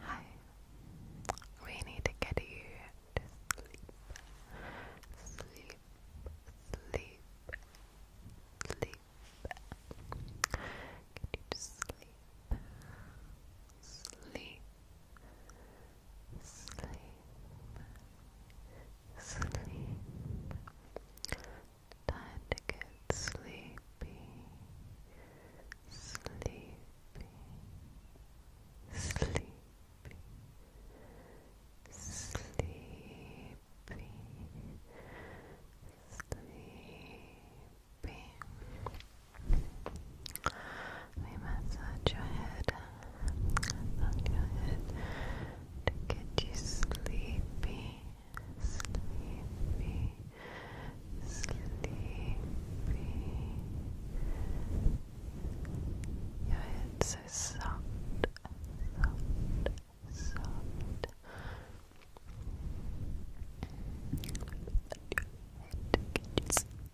Hi. We need to get you to sleep. Sleep. Sleep. Sleep. Get you Sleep. Sleep sleep, sleep. Time to get sleepy, sleepy, sleepy, sleepy, sleepy. We massage your head on your head to get you sleepy, sleepy, sleepy. Your head's so soft, soft, soft. Let your head get you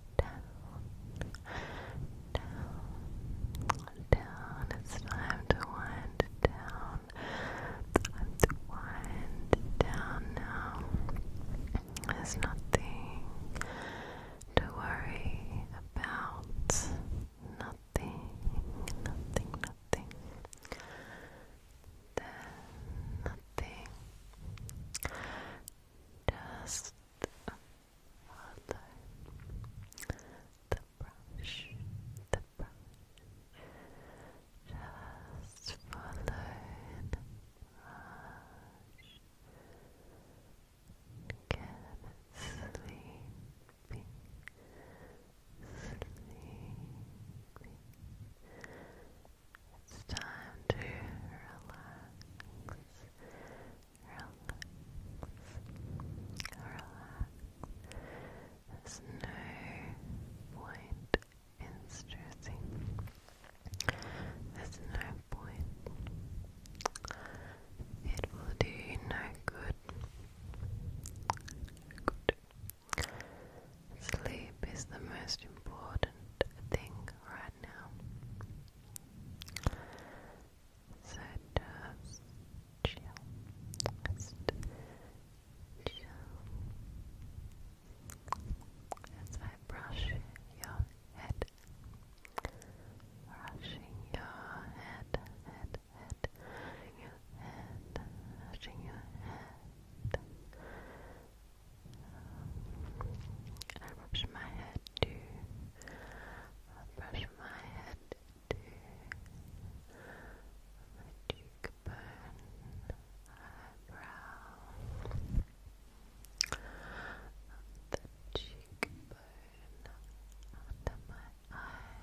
down, down, down. It's time to wind down. to wind down now. There's nothing to worry about. Nothing, nothing, nothing. There's nothing just follow the brush, the brush. Just follow the Get sleepy. Sleepy, it's time to relax. Relax. Relax. There's no point in stressing. There's no point. It will do no good. Good. Sleep is the most important thing right bad now. So just chill. Just chill. As I brush your head, brushing your head, head, head, your head, brushing your head. I brush my head too. I brush my head too. My cheekbone, eyebrow, the cheekbone under my eye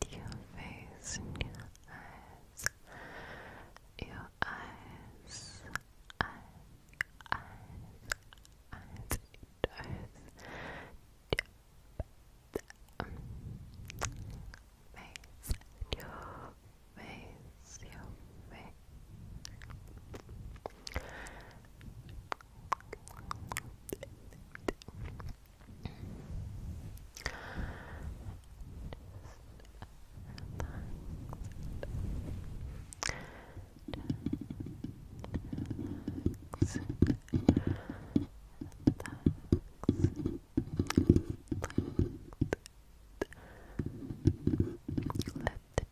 to your face your eyes, your eyes, eyes, eyes, eyes, your face, your face, your face. Let the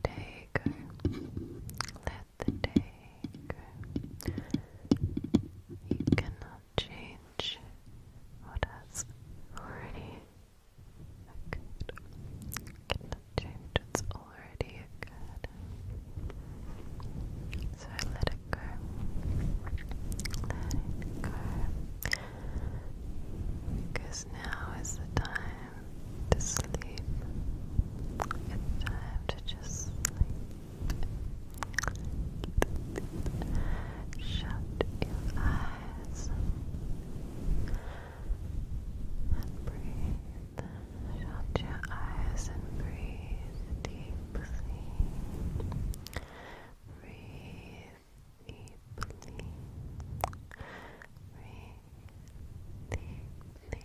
day go. Let the day You cannot change what has already occurred. cannot change what's already occurred. So let it go. Because now is the time to sleep. It's time to just Shut your eyes and breathe. Shut your eyes and breathe deeply. Breathe deeply. Breathe deeply.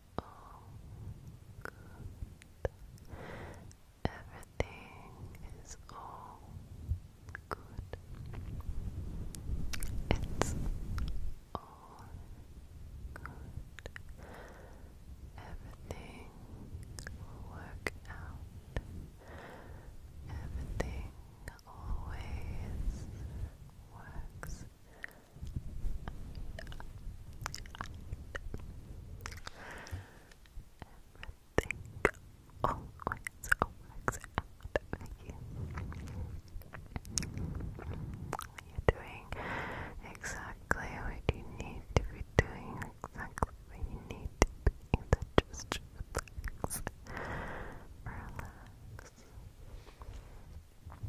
all good. Everything is all good. It's all good. Everything will work out. Everything always works out. Everything always works out for you. you doing exactly what you need to be doing, exactly what you need to just relax. Relax relax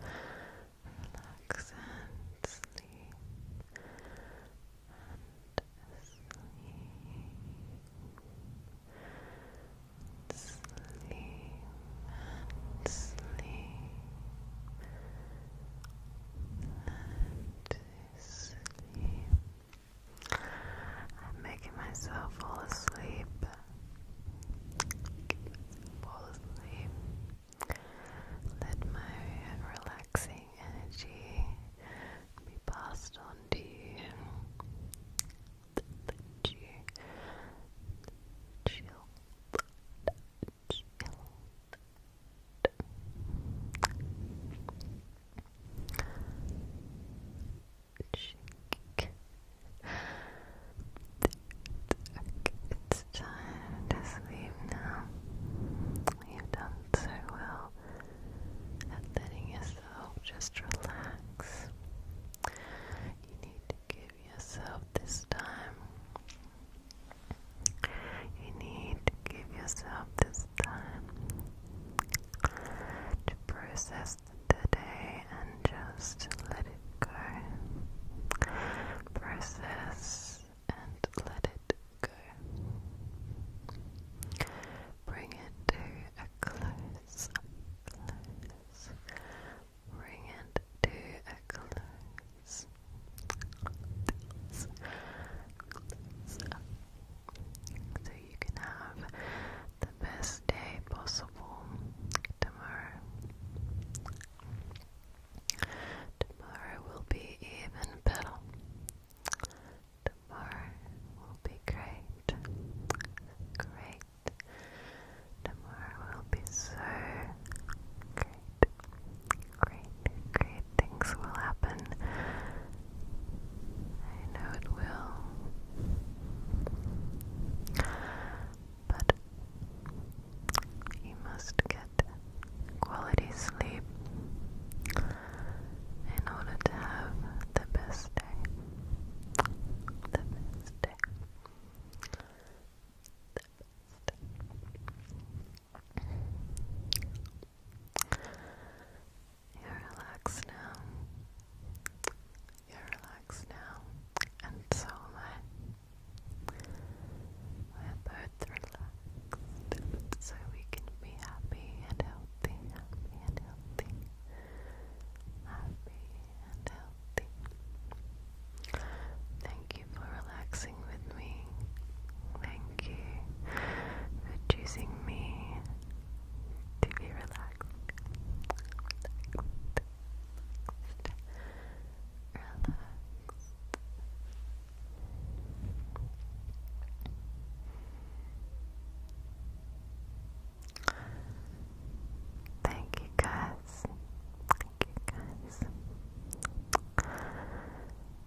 and sleep and sleep sleep and sleep and sleep I'm making myself fall asleep fall Let my relaxing energy be passed on to you. chill, chill it's time to sleep now. You've done so well at letting yourself just relax. You need to give yourself this time. You need to give yourself this time to process just today and just let it go. Process and let it go. Bring it to a close, Bring it to a close you can have the best day possible tomorrow. Tomorrow will be even better. Tomorrow will be great. Great. Tomorrow will be so great. Great, great things will happen. I know it will. But you must get quality sleep in order to have the best day. The best day. The best. You're relaxed now. You're relaxed now, and so am I. We're both relaxed, so we can be happy and healthy, happy and healthy, happy and healthy. Thank you for relaxing with me. Thank you for choosing me to be relaxed. Relaxed. Thank you guys. Thank you guys.